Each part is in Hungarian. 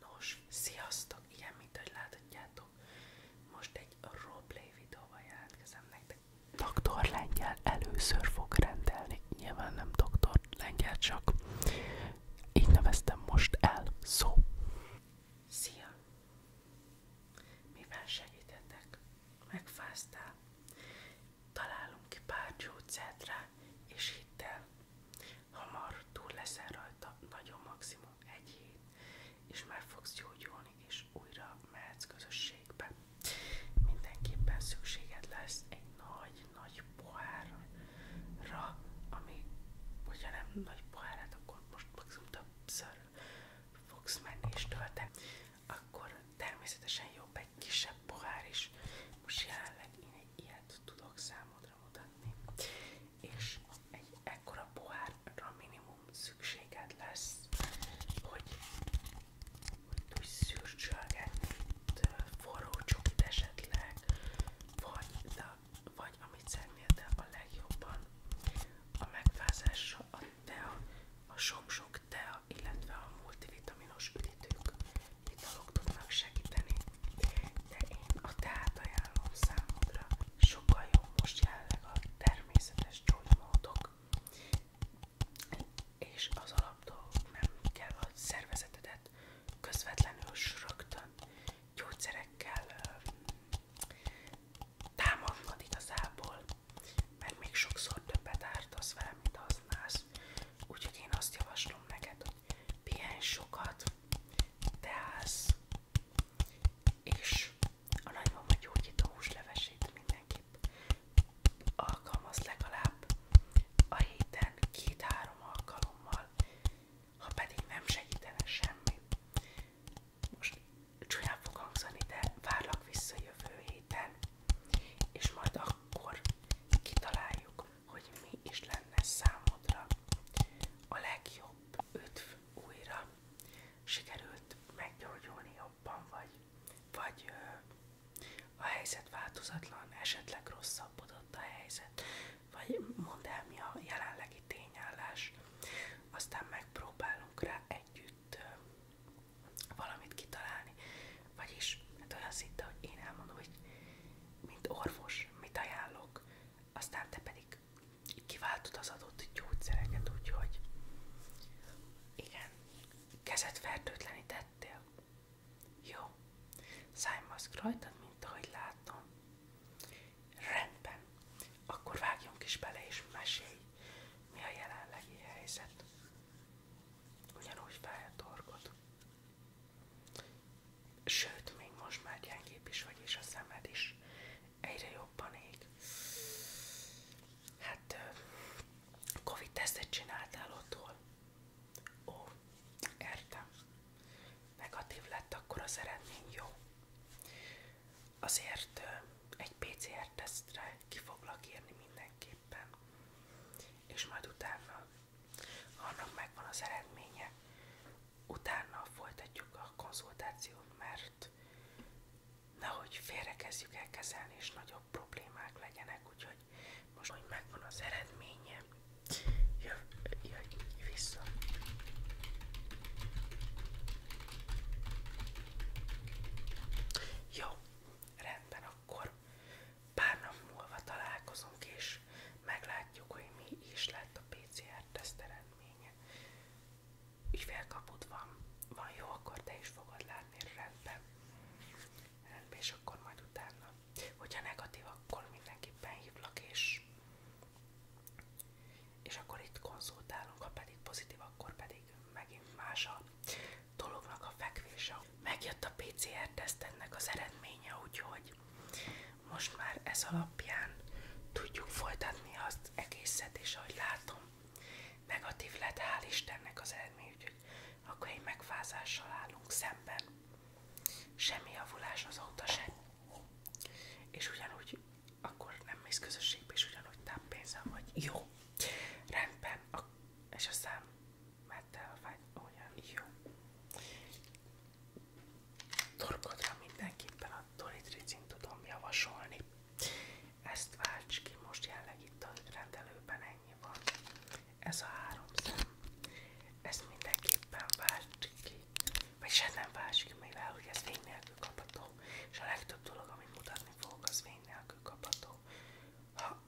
Nos, sziasztok! Igen, mint ahogy láthatjátok, most egy roleplay videóval jelentkezem nektek. Doktor először fog rendelni, nyilván nem Doktor csak így neveztem most el, Szia! Mivel segítetek? Megfáztál? Találunk ki pár gyógyszert rá, és hidd el, túl leszel rajta, nagyon maximum egy és már fogsz gyógyulni, és újra mehetsz közösségbe. Mindenképpen szükséged lesz egy nagy-nagy pohárra, ami, hogyha nem nagy pohárát, akkor most maximum többször fogsz menni Akkor természetesen jobb egy kisebb pohár is. Most jelenleg ilyet tudok számot tudra mutatni. És egy ekkora pohárra minimum szükséged lesz, hogy, hogy tudj szürcsölgetni forró csokit esetleg, vagy, de, vagy amit szeretnél, de a legjobban a megfázásra a tea, a sok-sok tea, illetve a multivitaminos üdítők italok tudnak segíteni, de én a teát ajánlom számodra. Sokkal jobb most jelenleg a természetes gyógymódok, és az alapdolgok nem kell a szervezetedet közvetlenül srögtön gyógyszerekkel támadnod igazából, mert még sokszor többet ártasz vele, mint használsz az. Úgyhogy én azt javaslom neked, hogy pihenj sokat, teász, és a nagymama gyógyító húslevesét mindenképp alkalmaz legalább a héten két-három alkalommal, ha pedig nem segítene semmi. Most csúnyán fog hangzani, de várlak vissza jövő héten, és majd akkor kitaláljuk, hogy mi is lenne számodra a legjobb ötv újra. Sikerült meggyógyulni jobban, vagy, vagy a helyzet változatlan, esetleg rosszabbodott a helyzet, vagy mondd el mi a jelenlegi tényállás. Aztán megpróbálunk rá együtt valamit kitalálni. Vagyis, hát olyan szinte, hogy én elmondom, hogy mint orvos, mit ajánlok, aztán te pedig kiváltod az adott gyógyszereket, úgyhogy igen, kezed fertőtlenítettél. Jó, szájmaszk rajtad, mint ahogy látom. Rendben, akkor vágjunk is bele, és mesélj, mi a jelenlegi helyzet. Ugyanúgy fáj a torkod. Sőt, még most már gyengébb is vagy, és a szemed is egyre jobban ég. Hát, Covid-tesztet csináltál otthon? Ó, értem. Negatív lett, akkor az eredmény jó. Azért egy PCR-tesztre ki foglak írni mindenképpen és majd utána annak megvan az eredménye. Utána folytatjuk a konzultációt, mert nehogy félrekezdjük el kezelni, és nagyobb problémák legyenek, úgyhogy most, hogy megvan az eredménye, jöjj vissza. Jó, rendben, akkor Pár nap múlva találkozunk, és meglátjuk, hogy mi is lett a PCR-teszt eredménye. Ügyfélkaput van. Van jó, akkor te fogod látni, rendben. Rendben, és akkor majd utána. Hogyha negatív, akkor mindenképpen hívlak, és, és akkor itt konzultálunk, ha pedig pozitív, akkor pedig megint a dolognak a fekvése. Megjött a PCR-teszt az eredménye, úgyhogy most már ez alapján tudjuk folytatni azt egészet, és ahogy látom, negatív lett, hál' Istennek az eredmény, úgyhogy akkor egy megfázással állunk szemben. Semmi javulás azóta sem. És ugyanúgy akkor nem mész közösségbe, és ugyanúgy táppénzzel vagy. Jó, rendben. És aztán metelvágy olyan jó. Torkodra mindenképpen a Doritricin tudom javasolni. Ezt válts ki, most jelenleg itt a rendelőben ennyi van. Ez a három szem. Ezt mindenképpen válts ki. Vagy se hát nem válts ki, mivel hogy ez fény nélkül kapható. És a legtöbb dolog, amit mutatni fogok, az fény nélkül kapható. Ha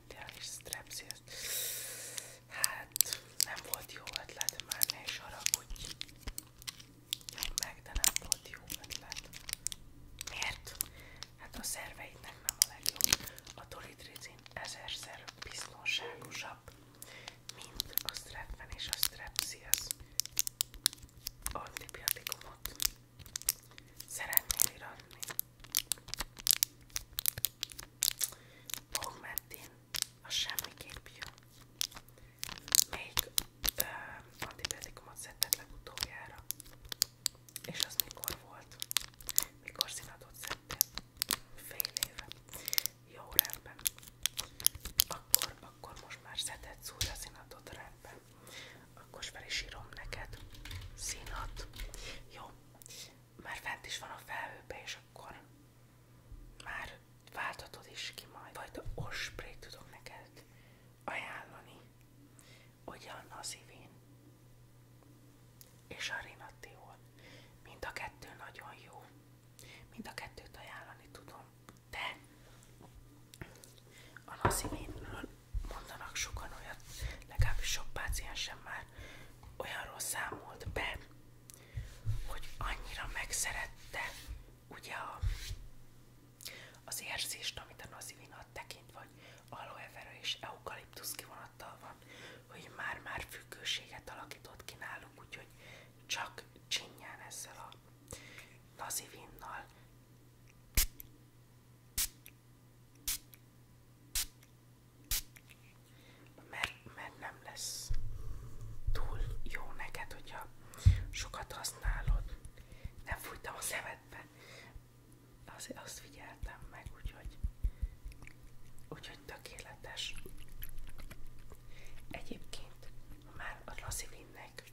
szedtél és strepszilt. Hát nem volt jó ötlet, már ne is haragudj. Jön meg, de nem volt jó ötlet. Miért? Hát a szerveidnek nem a legjobb. A dolitricin ezerszer biztonságosabb, mint a strepven és a strepsziasz antibiotikumot szeretnél iratni. Bogmentin a semmiképp jó. Még ö, antibiotikumot szedted legutoljára. És az mikor volt? Mikor színadot szedtél? Fél éve. Jó, rendben. Akkor, akkor most már szedhetsz újra színadot, rendben te, akkor fel is írom neked. Színat. Jó, már fent is van a felhőbe, és akkor már váltatod is ki majd. Fajta osprét tudok neked ajánlani. Ugyan a szívén és a rinattiól. Mind a kettő nagyon jó. Mind a kettőt ajánlani tudom. De a nazivénről mondanak sokan olyat, legalábbis sok páciensem már olyanról számolt be, hogy annyira megszerette ugye a, az érzést, amit a nazivinat tekint, vagy aloe vera és eukaliptusz kivonattal van, hogy már-már függőséget alakított ki náluk, úgyhogy csak csinyán ezzel a nazivinnal mert, mert nem lesz túl jó neked, hogyha sokat használod. Nem fújtam a szemedbe. Azért azt figyeltem meg, úgyhogy, úgyhogy tökéletes. Egyébként, ha már a Lazivinnek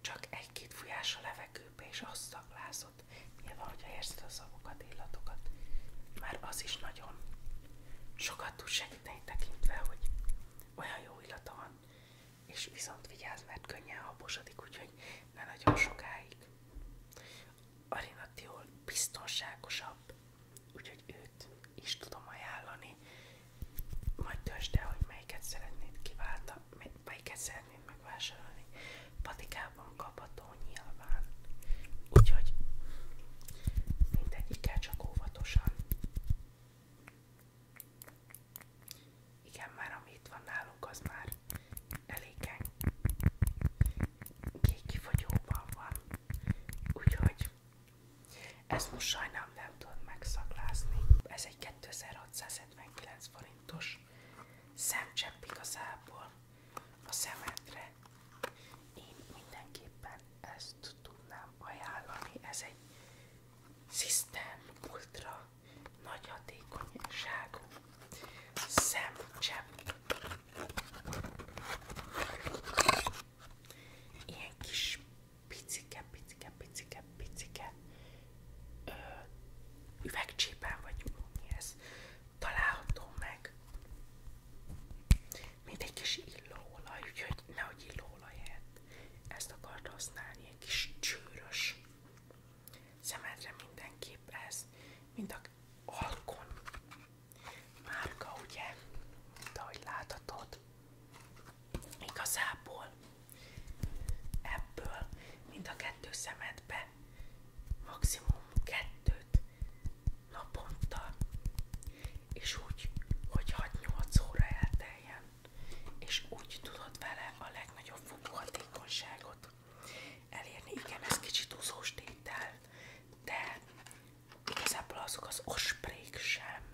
csak egy-két fújás a levegőbe, és azt szaglázott. Nyilván, hogyha érzed a szavokat, illatokat. Már az is nagyon sokat tud segíteni tekintve, hogy olyan jó illata van, és viszont vigyázz, mert könnyen habosodik, úgyhogy ne nagyon sokáig. Arinatiol biztonságosabb, úgyhogy őt is tudom ajánlani. Majd döntsd hogy melyiket szeretnéd kiválta, melyiket szeretnéd megvásárolni. Patikában kapható nyilván. Úgyhogy mindegyikkel csak óvatosan. Igen, már ami itt van nálunk, az már eléggé kifogyóban van. Úgyhogy ezt most sajnálom nem tudod megszaklázni. Ez egy 2679 forintos szemcsepp igazából a szemedre. Én mindenképpen ezt tudnám ajánlani, ez egy System Ultra nagy hatékonyságú szemcsepp. Ilyen kis picike, picike, picike, picike ö, üvegcsípen, vagy mi ez, található meg, mint egy kis illóolaj, úgyhogy nehogy illóolaját. Ezt akarta használni, egy kis csűrös szemedre mindenképp ez, mint a Alkon márka, ugye, mint ahogy láthatod. Igazából ebből mind a kettő szemedbe maximum kettőt naponta, és úgy, hogy 6-8 óra elteljen, és úgy tudod vele a legnagyobb fokú hatékonyságot elérni. Igen, ez kicsit úszós tétel, de igazából azok az osprék sem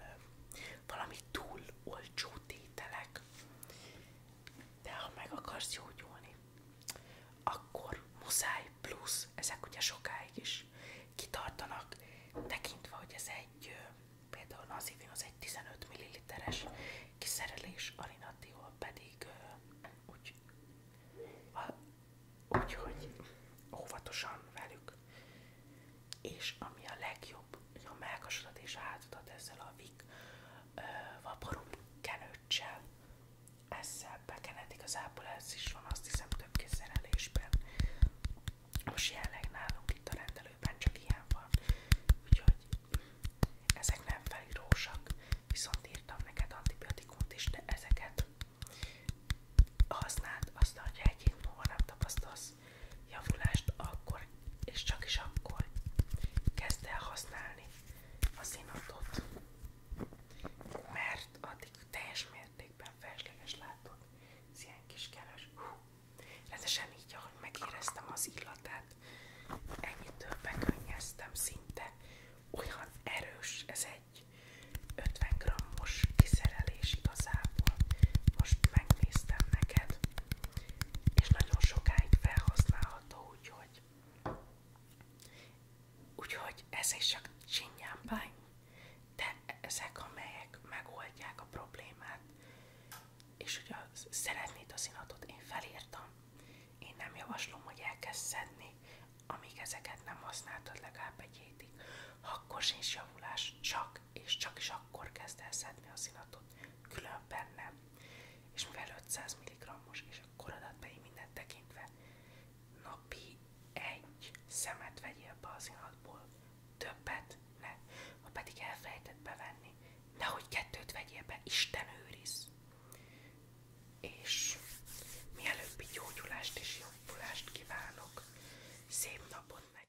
valami túl olcsó tételek, de ha meg akarsz gyógyulni, akkor muszáj plusz, ezek ugye sokáig is kitartanak, tekintve, hogy ez egy, például Nazivin az egy 15 ml-es kiszerelés, Alinatiol pedig úgy, úgy hogy óvatosan velük és ami a legjobb, jó a melkasodat és a ezzel a vik vaporú kenőccsel, ezzel bekened, igazából ez is van, azt hiszem több kézszerelésben. Most jelenleg nálunk itt a rendelőben csak ilyen van, úgyhogy ezek nem felírósak, viszont írtam neked antibiotikumot is, de ezeket használd, azt hogyha egy hét múlva nem tapasztalsz észhez javulást akkor és csak is akkor kezd el használni a színatot, mert addig teljes mértékben felesleges látod. Ez ilyen kis keres. Rendesen így, ahogy megéreztem az illatát, ennyitől bekönnyeztem szinte. Olyan erős, ez egy 50 g-os kiszerelés igazából. Most megnéztem neked és nagyon sokáig felhasználható, úgyhogy úgyhogy ez is csak csinyámbány, de ezek amelyek megoldják a problémát, és ugye szeretnéd az inatot, én felírtam, én nem javaslom, hogy elkezd amíg ezeket nem használtad legalább egy hétig, akkor csak és csak is akkor kezd el szedni az illatot, különben nem. És mivel 500 mg-os, és a korodatbeli mindent tekintve, napi egy szemet vegyél be az illatból, többet ne, ha pedig elfelejtett bevenni, nehogy kettőt vegyél be, Isten őriz! És mielőbbi gyógyulást és jobbulást kívánok, szép napot meg!